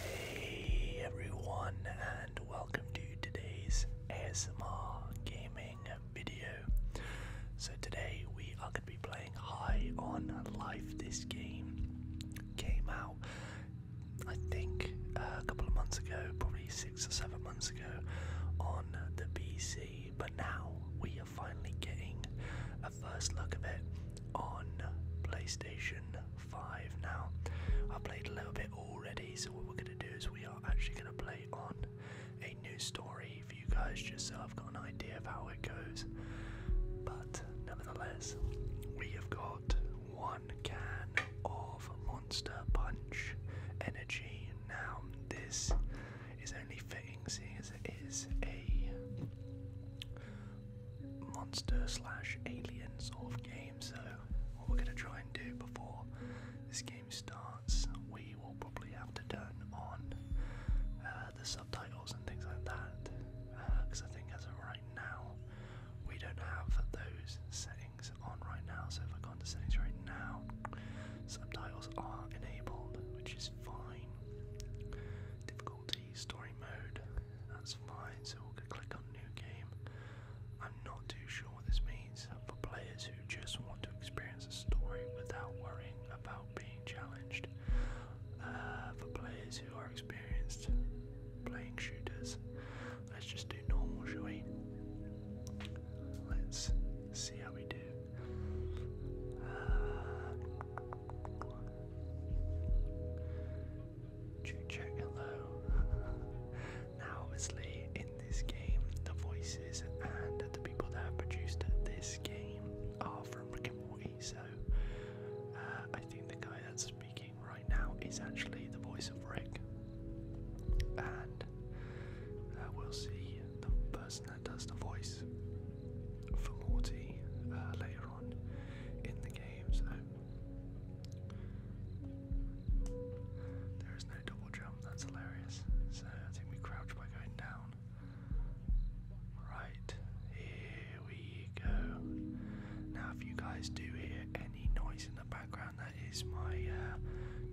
Hey everyone, and welcome to today's ASMR gaming video. So, today we are going to be playing High on Life. This game came out. I think uh, a couple of months ago, probably six or seven months ago, on the PC, but now we are finally getting a first look of it on PlayStation 5 now. I played a little bit already, so what we're going to do is we are actually going to play on a new story for you guys just so I've got an idea of how it goes. But nevertheless, we have got one can of Monster Punch Energy. Now, this is only fitting seeing as it is a monster slash alien sort of game. So, what we're going to try and do before this game starts, we will probably have to turn on uh, the subtitles and things like that because uh, I think as of right now. We don't have those settings on right now, so if I go into settings right now, subtitles are enabled, which is fine. Difficulty, story mode, that's fine, so we'll click on new game. I'm not too sure what this means for players who just want to experience a story without worrying about being challenged. Uh, for players who are experienced playing shooters. Let's just do normal, shall Let's see how we do. Uh, hello. now, obviously, in this game, the voices and the people that have produced this game are from Rick and Morty, so uh, I think the guy that's speaking right now is actually the voice of Rick, and uh, we'll see the person that does the voice for Morty uh, later on in the game. So there is no double jump. That's hilarious. So I think we crouch by going down. Right here here we go. Now, if you guys do hear any noise in the background, that is my uh,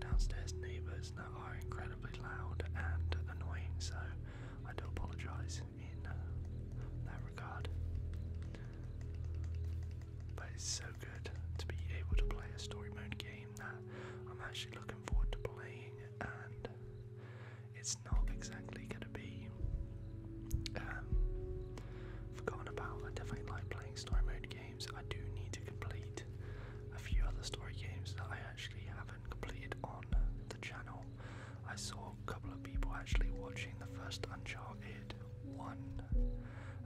downstairs neighbours that are incredibly loud and annoying, so I do apologise in uh, that regard. But it's so good to be able to play a story mode game that I'm actually looking forward to playing, and it's not exactly going to be um, forgotten about. I definitely like playing story mode games. I do need to complete a few other story games that I actually haven't completed on the channel. I saw a couple of people actually watching the first Uncharted 1,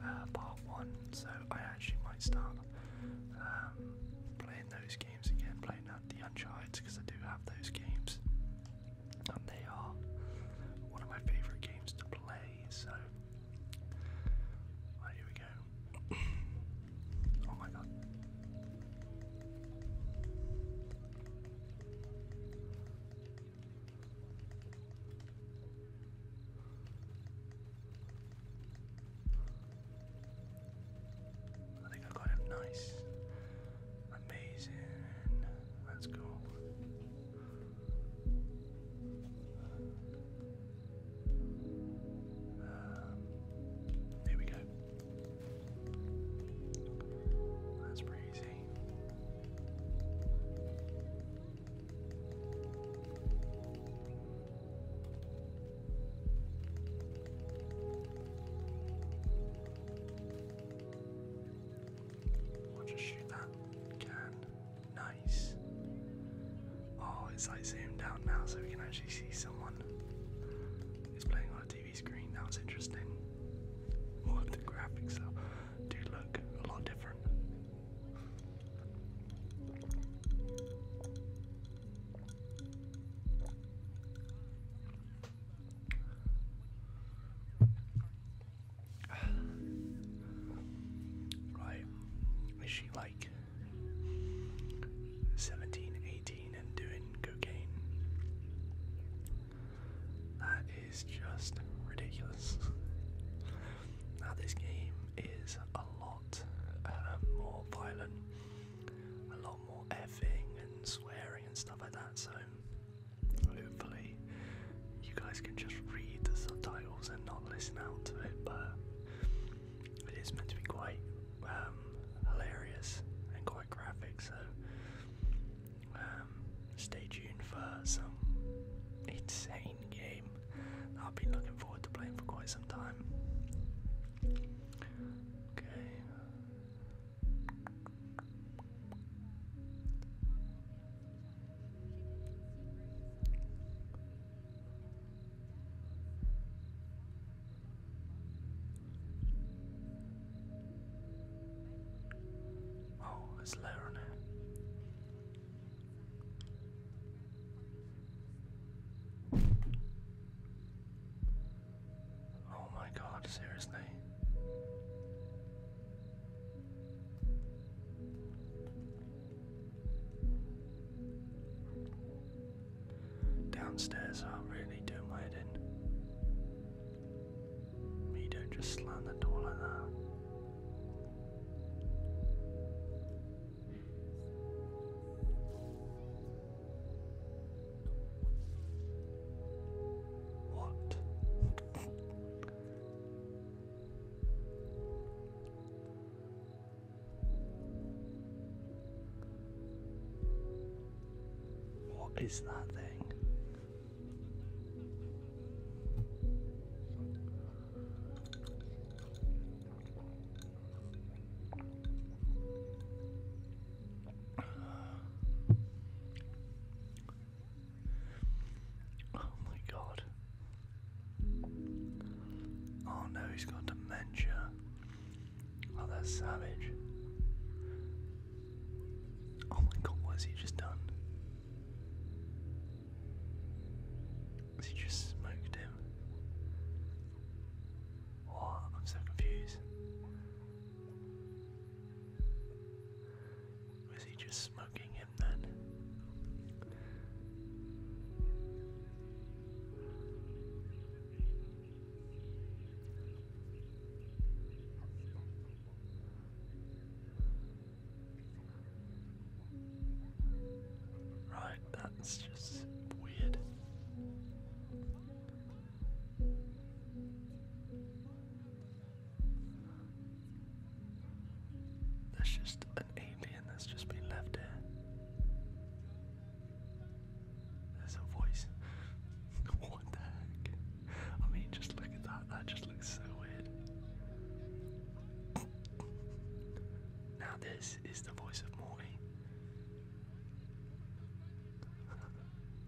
uh, part 1, so I actually might start um, playing those games again, playing out the Uncharted because I do have those games they are one of my favourite games to play. So, here we go. oh my god. I think I got him nice. Amazing. Let's go. Um, we go. That's pretty easy. We'll just shoot that can. Nice. Oh, it's like zoomed out now so we can actually see someone. It's playing on a TV screen, that was interesting. What the graphics are, do look a lot different. Right. Is she like 17, 18 and doing cocaine? That is just ridiculous. now, this game is a lot um, more violent, a lot more effing and swearing and stuff like that, so Hopefully, you guys can just read the subtitles and not listen out to it, but it is meant to be quite um, hilarious and quite graphic, so um, stay tuned for some insane game that I've been looking forward to playing for quite some time. Okay, Oh, it's later Oh my god, seriously? Downstairs, I'll really do my head in. You don't just slam the door like that. What? What is that thing? Oh my god. Oh no, he's got dementia. Oh, that's savage. Oh my god, what has he just done? Has he just smoked him? What? I'm so confused. Was he just smoking him then? Right, that's just weird. That's just an alien that's just been left here. There's a voice. what the heck? I mean, just look at that. That just looks so weird. Now, this is the voice of Morty.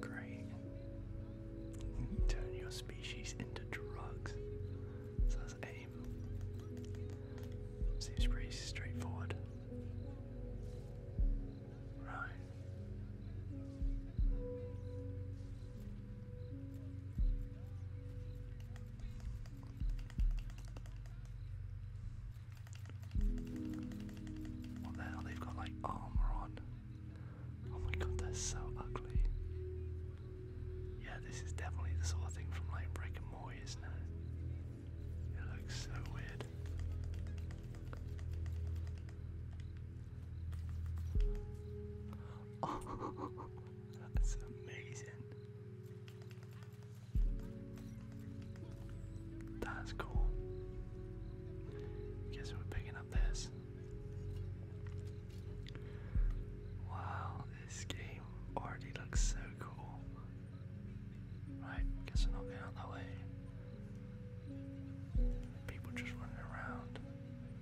Great. turn your species into drugs. So that's aim. Seems pretty straightforward. Right. What They've got like armor on. Oh my god, they're so ugly. Yeah, this is definitely the sort of thing from like Brick and Morty, isn't it? It looks so weird. That's amazing. That's cool. Guess we're picking up this. Wow, this game already looks so cool. Right, guess we're not going out that way. People just running around.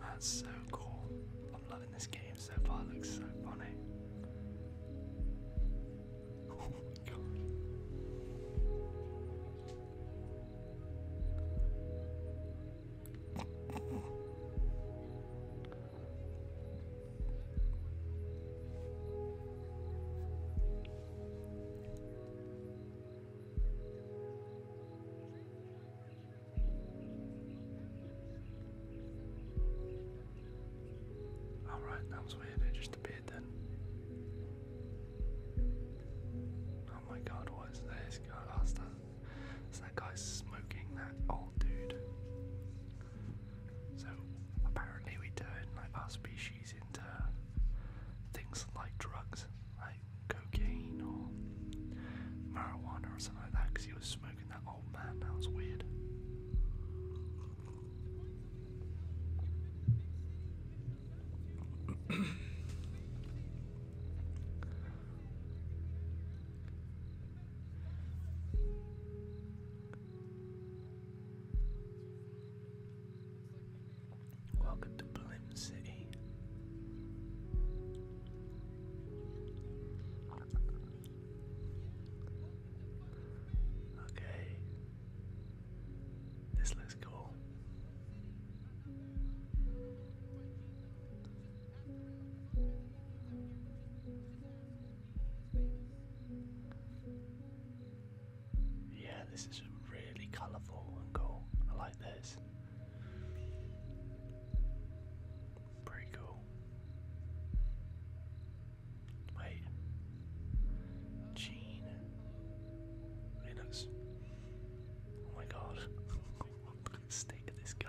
That's so cool. I'm loving this game so far, looks so funny. Oh Alright, that was weird, it just appeared then. Oh my god, what is this? God, oh, that's that, that guy smoking that old dude. So apparently we turn like our species into things like drugs, like cocaine or marijuana or something like that. Because he was smoking that old man. That was weird. Welcome to Blimp City. Okay, this looks cool. Yeah, this is really colourful and cool. I like this. Pretty cool. Wait. Gene. Linux. Oh my god. Look at the state of this guy.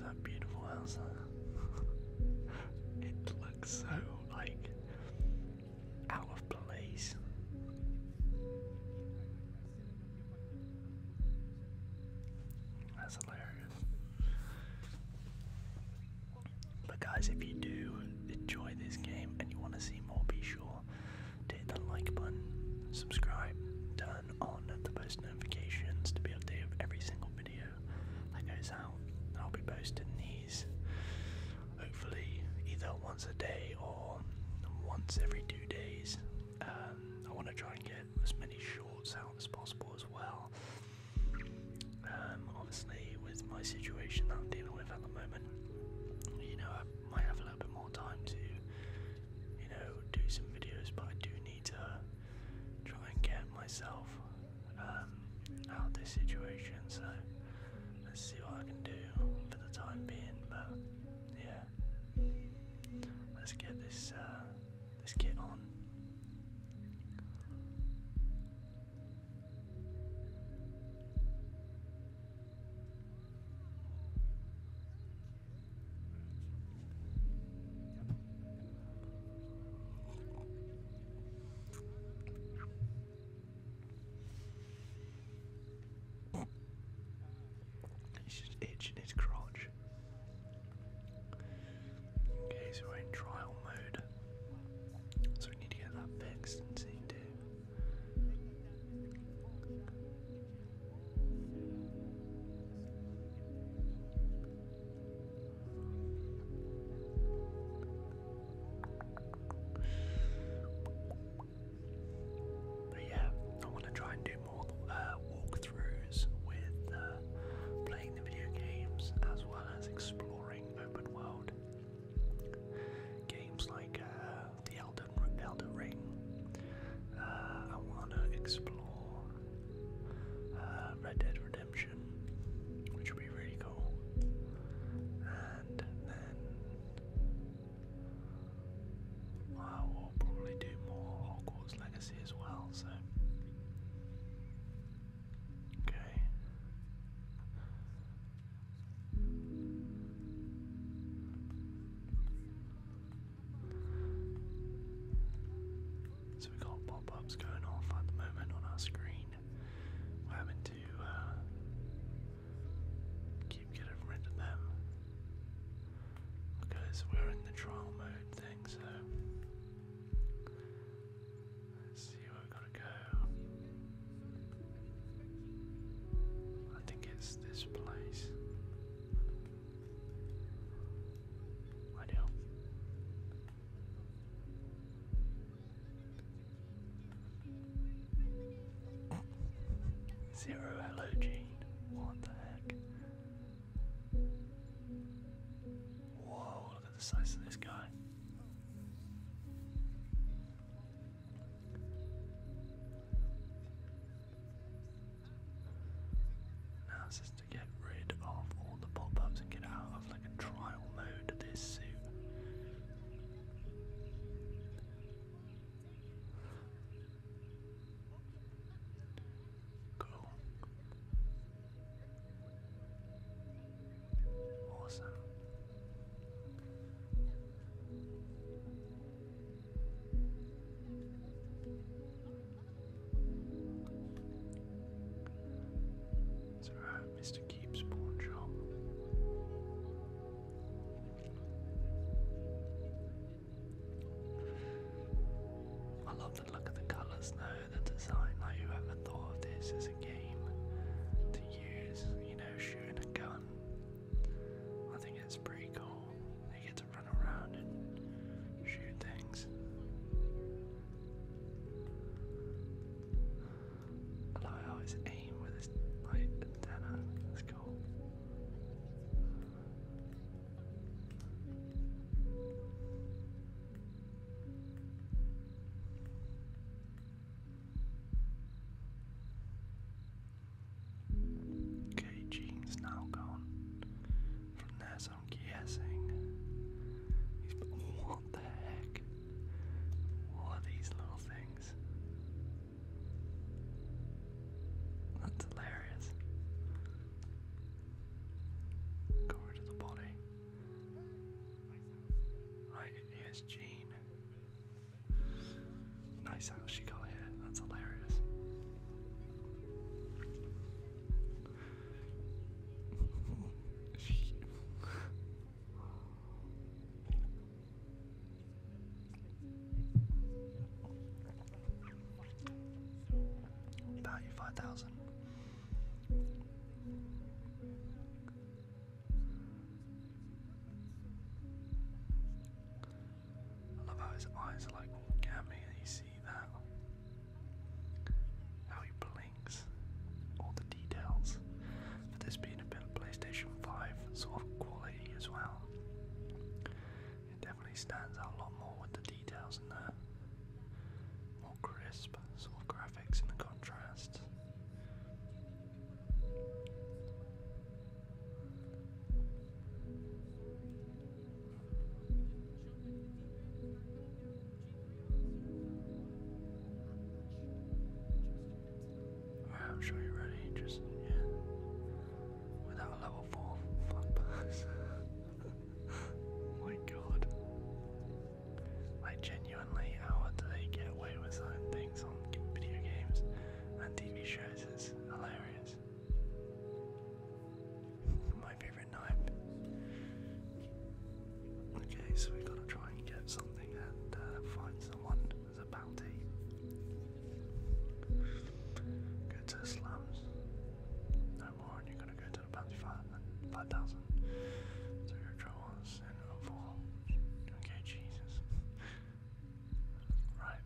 that beautiful house it looks so like out of place. That's hilarious. But guys, if you do enjoy this game and you want to see more, be sure to hit that like button, subscribe, turn on the post notifications to be updated with every single video that goes out. I'll be posting the Hopefully, either once a day or once every two days. Um, I want to try and get as many shorts out as possible as well. Um, obviously, with my situation that I'm dealing with at the moment, you know, I might have a little bit more time to, you know, do some videos, but I do need to try and get myself um, out of this situation. So Let's see what I can do for the time being. But yeah, let's get this uh, this kit on. It's just itching his crotch. Okay, so in trial mode. So we need to get that fixed and see too. But yeah, I want to try and do more uh, walkthroughs with uh, playing the video games as well as exploring open world games like uh, the Elder Elden Ring. I want to explore Red Dead Redemption, which would be really cool, and then I will probably do more Hogwarts Legacy as well, so. Okay. So we got pop ups going off at the moment on our screen. We're having to uh, Keep getting rid of them. Because we're in the trial mode thing, so let's see where we got to go. I think it's this place. I do. Zero halogene. What the heck? Whoa, look at the size of this guy. Now just to get rid of all the pop-ups and get out of like a trial mode this suit. Go. Awesome. It's Mr. Keep's pawn job. I love the look of the colours though, the design, like whoever thought of this as a game to use, you know, shooting a gun. I think it's pretty cool. You get to run around and shoot things. I like how it's game with Okay, Gene's now gone. From there, I'm guessing. what the heck? What are these little things? That's hilarious. Go over the body. Right, here's Jean. Nice how she got here. That's hilarious. Value 5,000. I love how his eyes are like walking at and you see that. How he blinks. All the details. For this being a bit of PlayStation 5 sort of quality as well. It definitely stands out a lot more with the details in there. More crisp sort of graphics in the contrast. I'm sure you're ready. Just in without a level four fuck My god. Like genuinely, how do they get away with things on video games and TV shows? It's hilarious. My favorite knife. Okay, so we gotta try and get something and uh, find someone there's a bounty. Go to slums. No more, and you're gonna go to the bounty five five thousand. So your troubles and overall. Okay, Jesus. Right.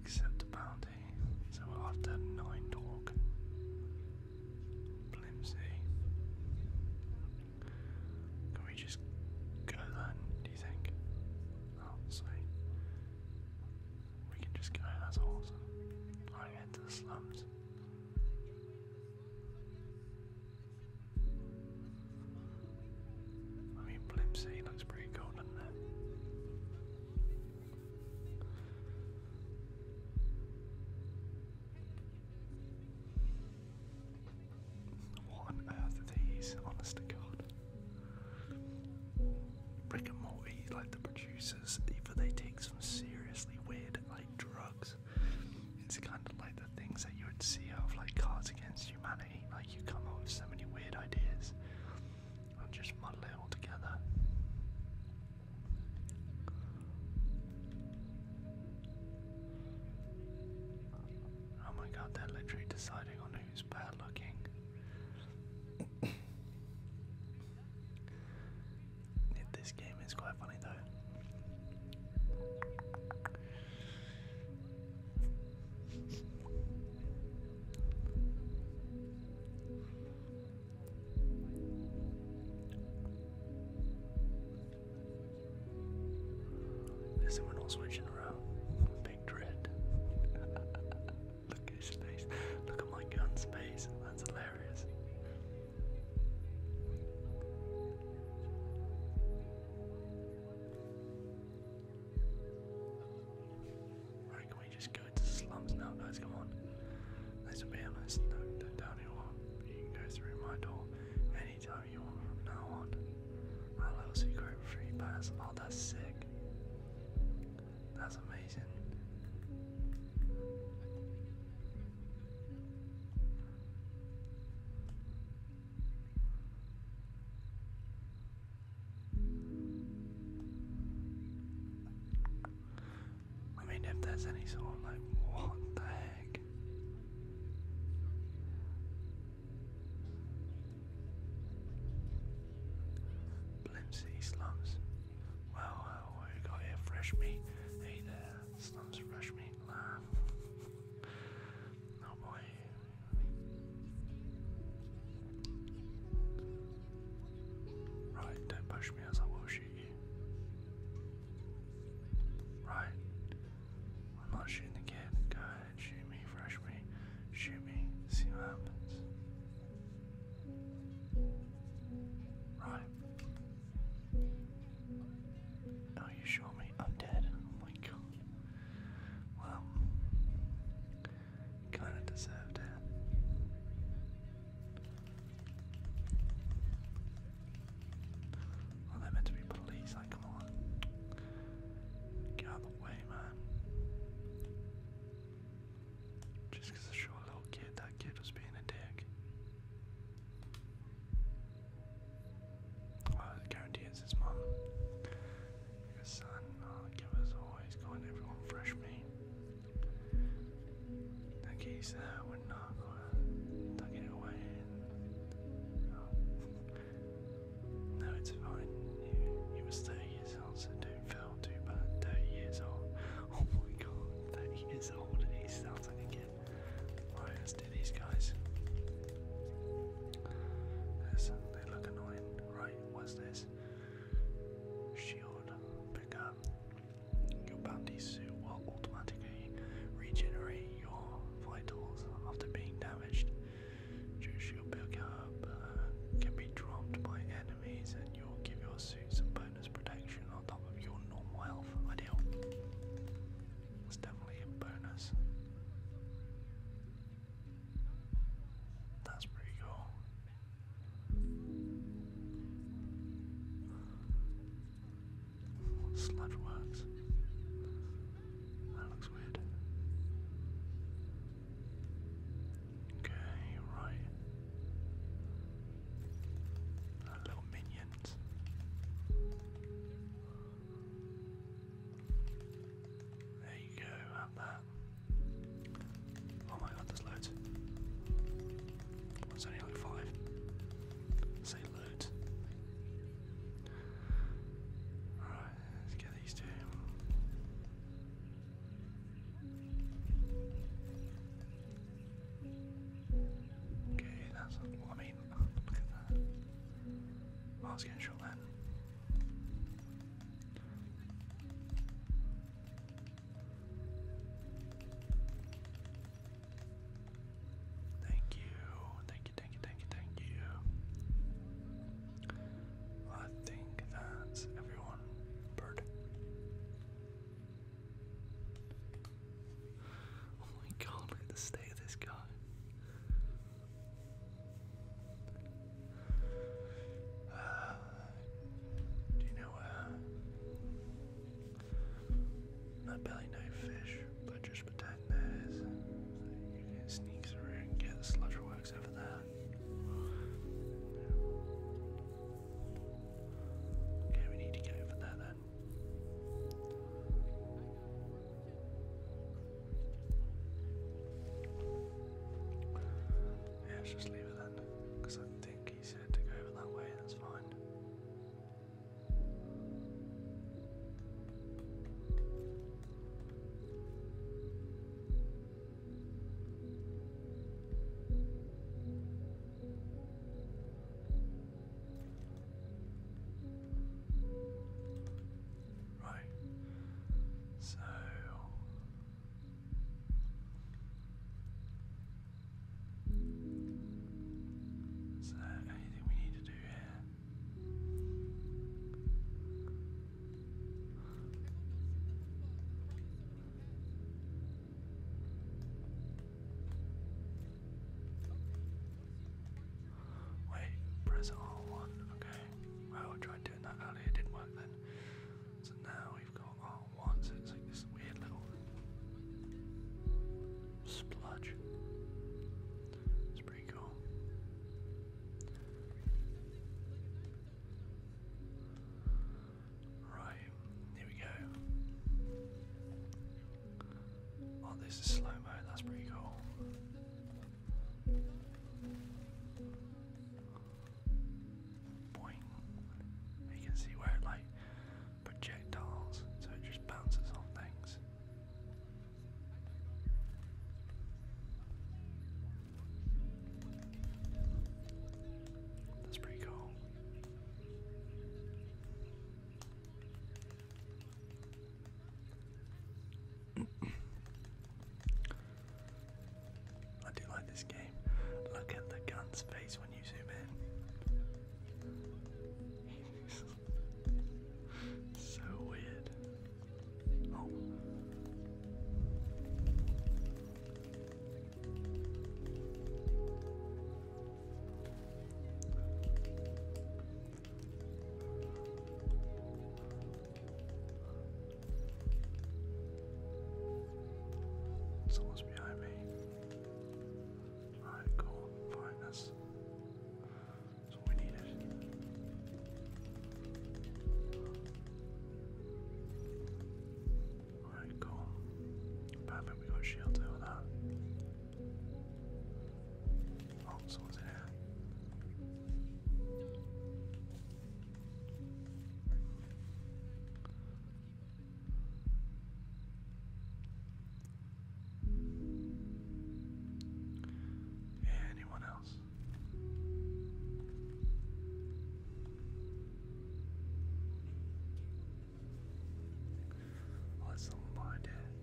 Accept the bounty. So after nine talk. Blimsy. Can we just go then, do you think? Oh, we can just go, that's awesome. I head to the slums. I mean, Blimp looks pretty cool, doesn't it? What on earth are these? Honest to God. Rick and Morty, like the producers, either they take some seriously weird, like drugs. It's kind of like the things that you would see of like Cards Against Humanity. Like you come up with so many weird ideas and just muddle it all together. Oh my god, they're literally deciding on who's bad looking. this game is quite funny though. There's someone all switching around. Big dread. Look at his face. Look at my gun's face. That's hilarious. Right, can we just go into slums now, guys? Come on. Let's be honest. No, no, down here. You can go through my door anytime you want from now on. My secret free pass. Oh, that's sick. That's amazing. I mean, if there's any sort of like, what the heck? Blimsy slums. Well, uh, we got here? Fresh meat. Hey there, slums fresh meat lamb. Oh boy. Right, don't push me as I will shoot you. Right, I'm not shooting the kid. Go ahead, shoot me, fresh me, shoot me, see what happens. Right. Oh, you shot me. I'm dead. Oh my god. Well, kind of deserved it. Like they're meant to be police, like come on. Get out the way, man. Just because I little kid, that kid was being a dick. I guarantee it's his mum. Your son, oh, give us always going everyone fresh meat. That geese there we're not gonna tuck it away No, it's fine. You, was 30 years old, so do too bad. 30 years old. Oh my god, 30 years old. He sounds like a kid. do these guys. Yes, they look annoying. Right, what's this? Shield, pick up. Your bounty suit will automatically regenerate your vitals after being damaged. Choose your pickup uh, can be dropped by enemies, and you'll give your suit some bonus protection on top of your normal health. Ideal. It's definitely a bonus. That's pretty cool. Sludge works. That looks weird. Okay, right. little minions. There you go, have that. Oh my god, there's loads. It's only like five. Say loot. Alright, let's get these two. Okay, that's I mean, ah, look at that. I was getting shot then. Thank you, thank you, thank you, thank you, thank you. I think that's everyone. Bird. Oh my god, look at the state of this guy. Uh, do you know where? Uh, I barely fish. Buncher's works over there. Okay, we need to get over there then. Yeah, just leave it then. Because I think he's said to go over that way, that's fine. Right. So is anything we need to do here? Wait, press R1, okay. Well, I tried doing that earlier, didn't work then. So now we've got R1, so it's like this weird little splodge. It's pretty cool. Right, here we go. Oh, this is slow mo, that's pretty cool. Boing. You can see where it like projectiles, so it just bounces on things. That's pretty cool. I do like this game. Look at the gun's face when you zoom in. So weird. Oh. Someone's behind me. Alright, cool. Fine, that's that's what we Alright, cool. Perfect, we got shields over that. Oh, in here. Anyone else? Let someone behind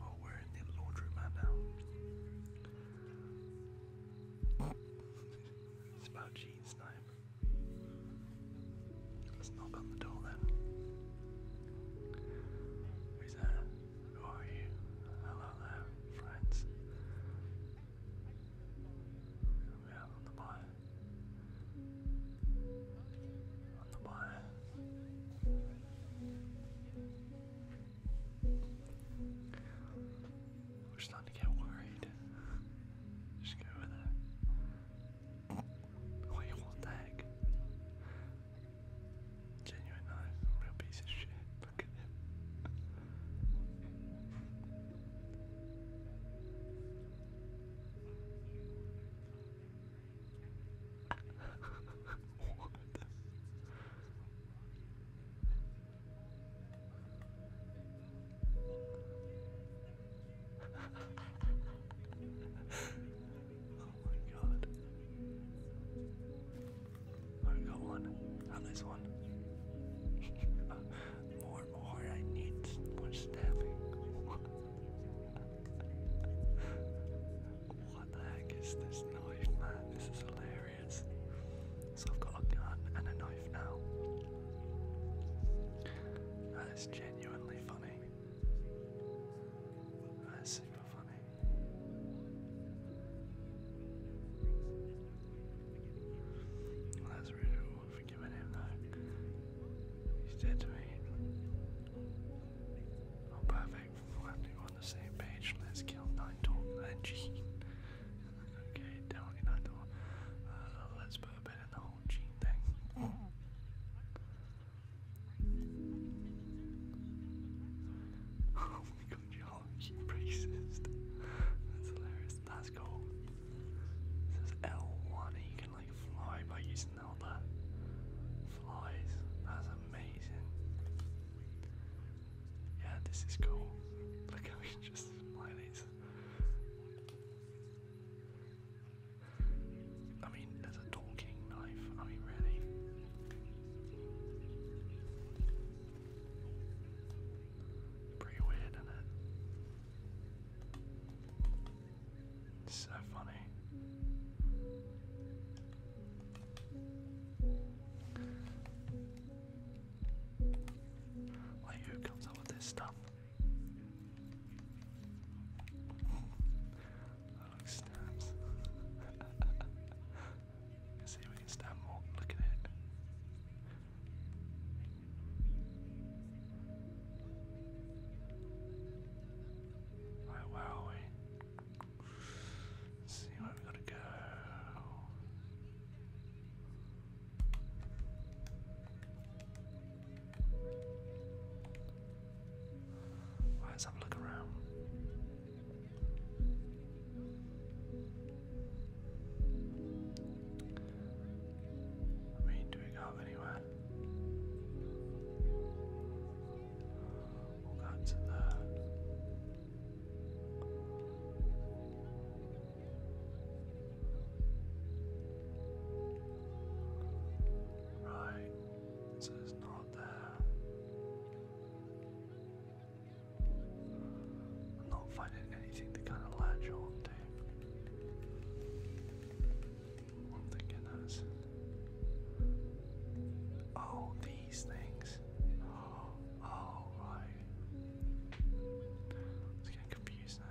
Oh, we're in the laundromat now. it's about jeans time. Let's knock on the door then. Who's there? Who are you? Hello there, friends. We are on the buy. On the buy. We're starting to get worried. Just go over there. Wait, what the heck? Genuine real piece of shit. Look at him. what oh my god. I got one. At least one. more, more. I need more stabbing. what the heck is this knife, man? This is hilarious. So I've got a gun and a knife now. That is genuinely funny. That's super funny. that's really cool for giving him that. He's dead to me. Oh, perfect. We're on the same page. Let's kill Nine and Gene. okay, definitely Nine let's put a bit in the whole Gene thing. Oh my god, Geology racist. That's hilarious. That's cool. This is L1 and can like fly by using all that flies. That's amazing. Yeah, this is cool. Look how he just fly I mean, there's a talking knife. I mean, really. Pretty weird, isn't it? It's so funny. Like, who comes up with this stuff? Let's see if we can stand more. Look at it. where are we? see where we gotta go. Let's have a look around. I mean, do we go anywhere? We'll go to there. Right, this is not there. I'm not finding anything to kind of latch on I'm thinking that's. Oh, these things. Oh, right. I getting confused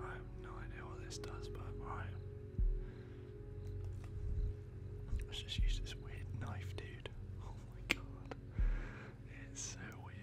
I have no idea what this does, but alright. Let's just use this weird knife, dude. Oh my god. It's so weird.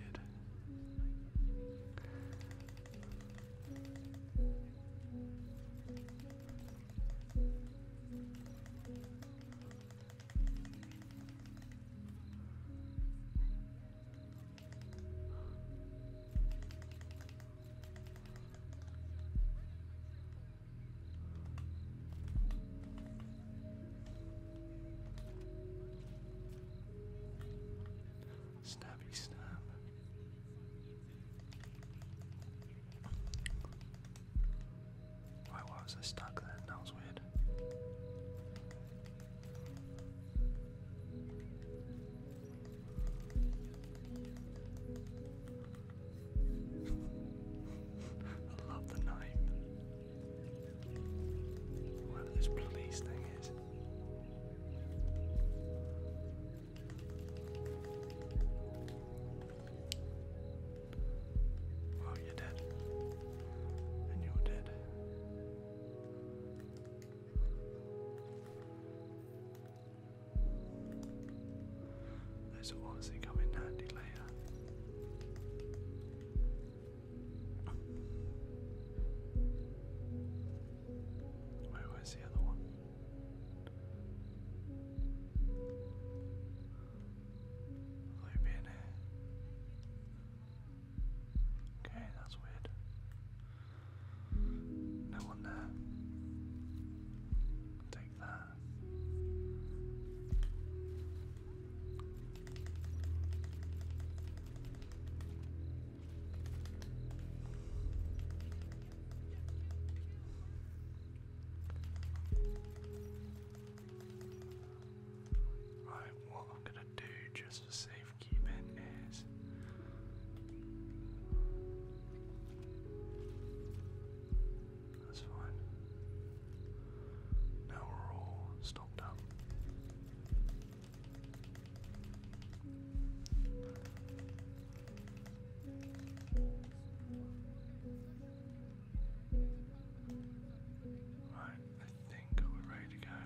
Snappy snap. Why, was I stuck there? That was weird. I love the name. Whatever this police thing is. Oh, you're dead. And you're dead. Those will obviously come in handy later. Where the other one? Loop in here. Okay, that's weird. No one there. Take that. Right, what I'm gonna do just for safekeeping is that's fine. Now we're all stopped up. Right, I think we're ready to go.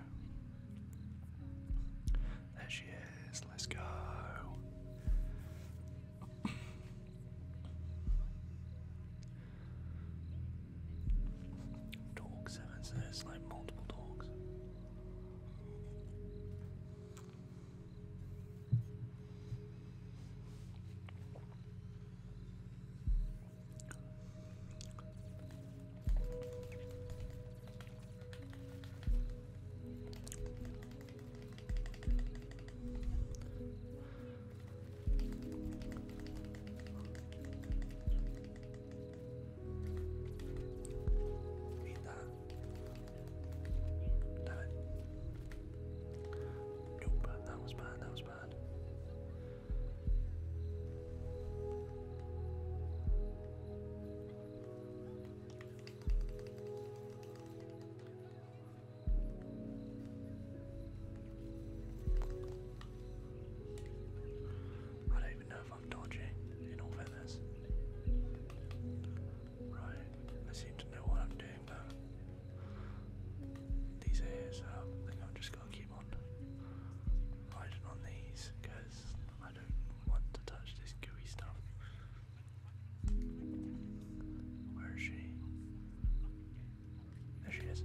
There she is, let's go. Dog seven says like multiple dogs. Nope, that was bad, that was bad. I don't even know if I'm dodging, in all fairness. Right, I seem to know what I'm doing now. These ears, uh, I think I've just got to Riding on these because I don't want to touch this gooey stuff. Where is she? There she is.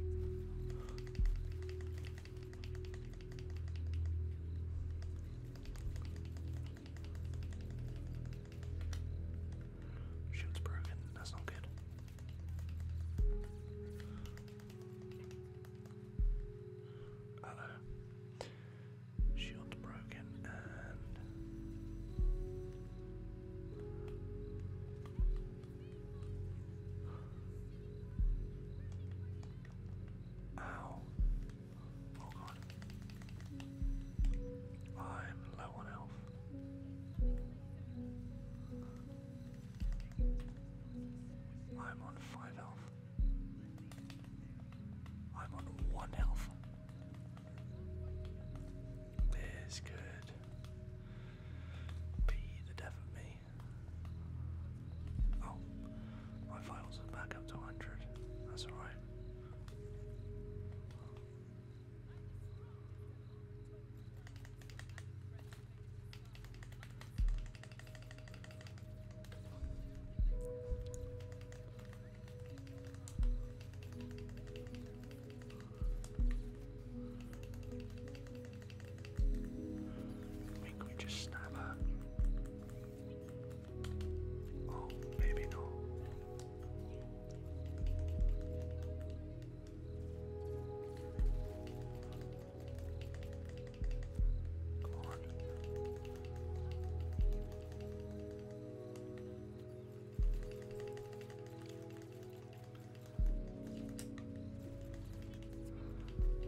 Shield's broken, that's not good. Uh-oh. broken Ow. Oh god. I'm low on health. I'm on five health. I'm on one health. This could be the death of me. Oh, my files are back up to 100. That's alright. Make we just snap her. Oh, maybe not.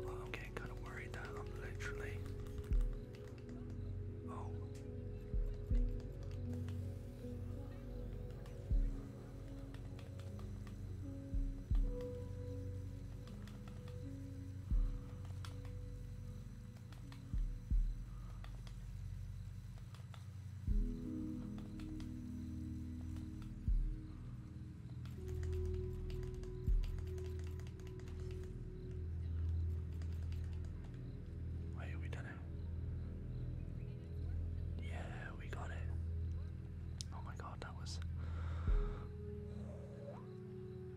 I'm getting kind of worried that I'm literally. Oh. Wait, we done it. Yeah, we got it. Oh my god, that was.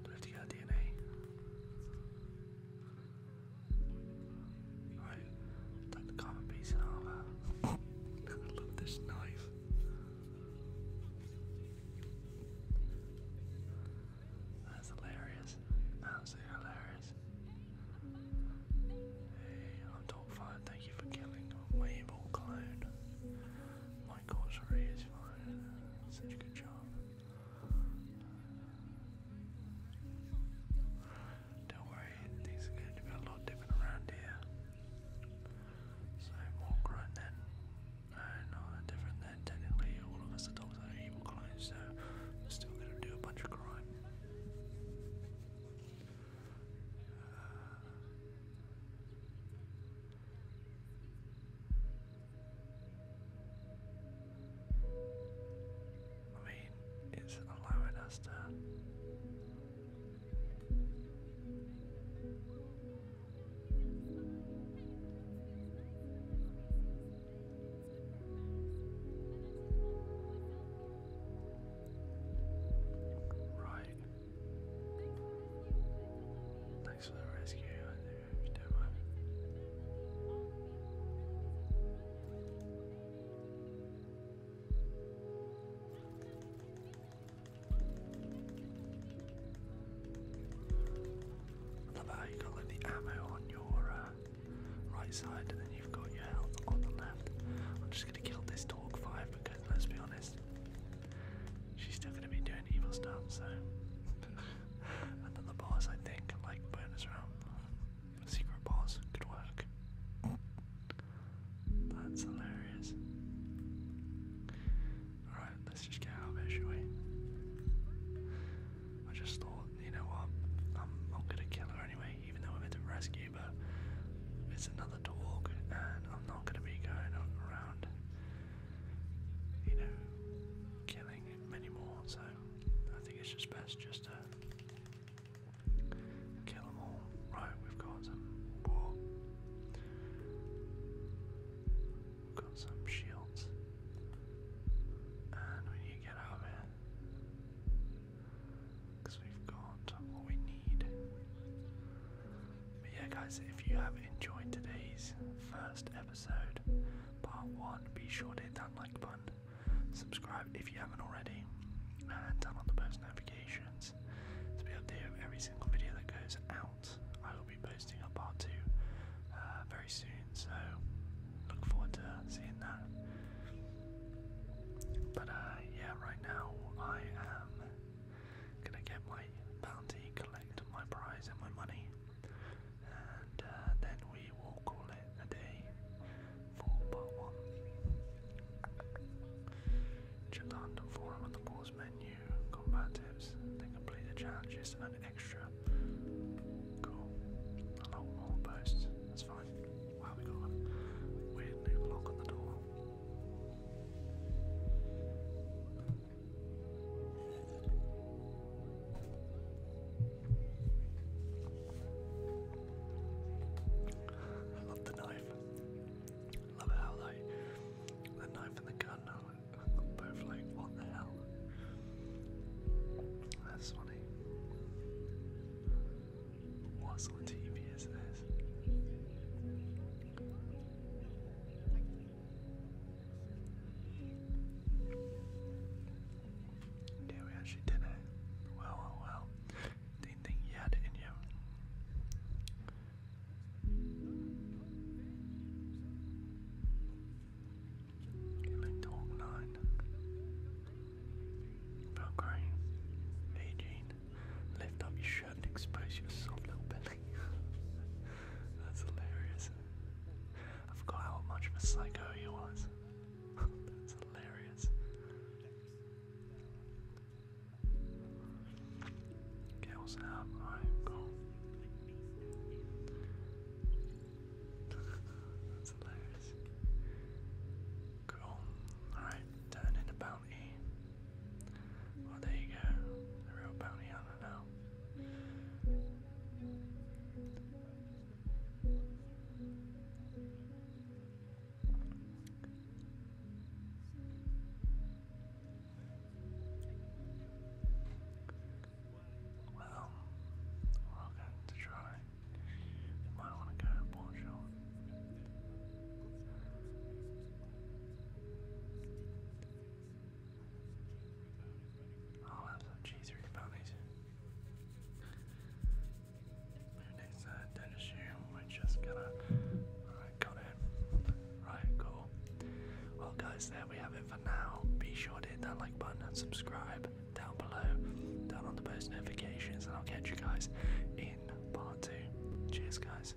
Did have to get DNA? Alright, like the common piece and I love this knife. That's hilarious. Absolutely hilarious. Hey, I'm 5, thank you for killing Wable Clone. My corsery is fine. Such a good job. Don't worry, things are going a lot different around here. So, more grunt than. Uh, different than technically all of us are dogs are evil clones, so we're still going to do a bunch of crime. I mean, it's allowing us to. Right. Thanks for the rescue, love how you got like the ammo on your uh, right side and then you've got your health on the left. I'm just gonna kill this dog five because let's be honest, she's still gonna be doing evil stuff, so another boss I think, like bonus round. Secret boss could work. That's hilarious. Alright, let's just get out of here, shall we? I just thought, you know what, I'm, i gonna kill her anyway, even though I'm meant to rescue, but it's another the talk, and I'm not going to be going around, you know, killing many more. So I think it's just best just to kill them all. Right, we've got some got some shields, and we need get out of we've got what we need. But yeah, guys, if you have enjoyed today's first episode, part one, be sure to hit that like button, subscribe if you haven't already, and turn on the post notifications to be updated with every single video that goes out. I will be posting a part two uh, very soon, so look forward to seeing that. But uh, yeah, right now I am Gonna get my bounty, collect my prize and my money, and uh, then we will call it a day for part one. Check the Hunt and the pause menu, combat tips, then complete the challenges and extra. Cool. A lot more posts, that's fine. Wow, we got a weird new block on the door. I love the knife. love how like the knife and the gun are both like what the hell? That's funny. What sort TV is this? Yeah, we actually did it. Well, well, Didn't think you had it in you. You like Dog Nine. AG. Lift up your shirt and expose your soft little belly. That's hilarious. I forgot how much of a psycho he was. That's hilarious. Okay, what's that? Alright, That's hilarious. Cool. Alright, turn into power. Well, there you go. The real bounty hunter now. Well, we're going to try. might want to go to Portugal. Oh, I'll have some cheese reboundies. Our uh, next we're just gonna. Alright, it. Right, cool. Well, guys, there we have it for now. Be sure to hit that like button and subscribe down below, down on the post notifications, and I'll catch you guys in part two. Cheers, guys.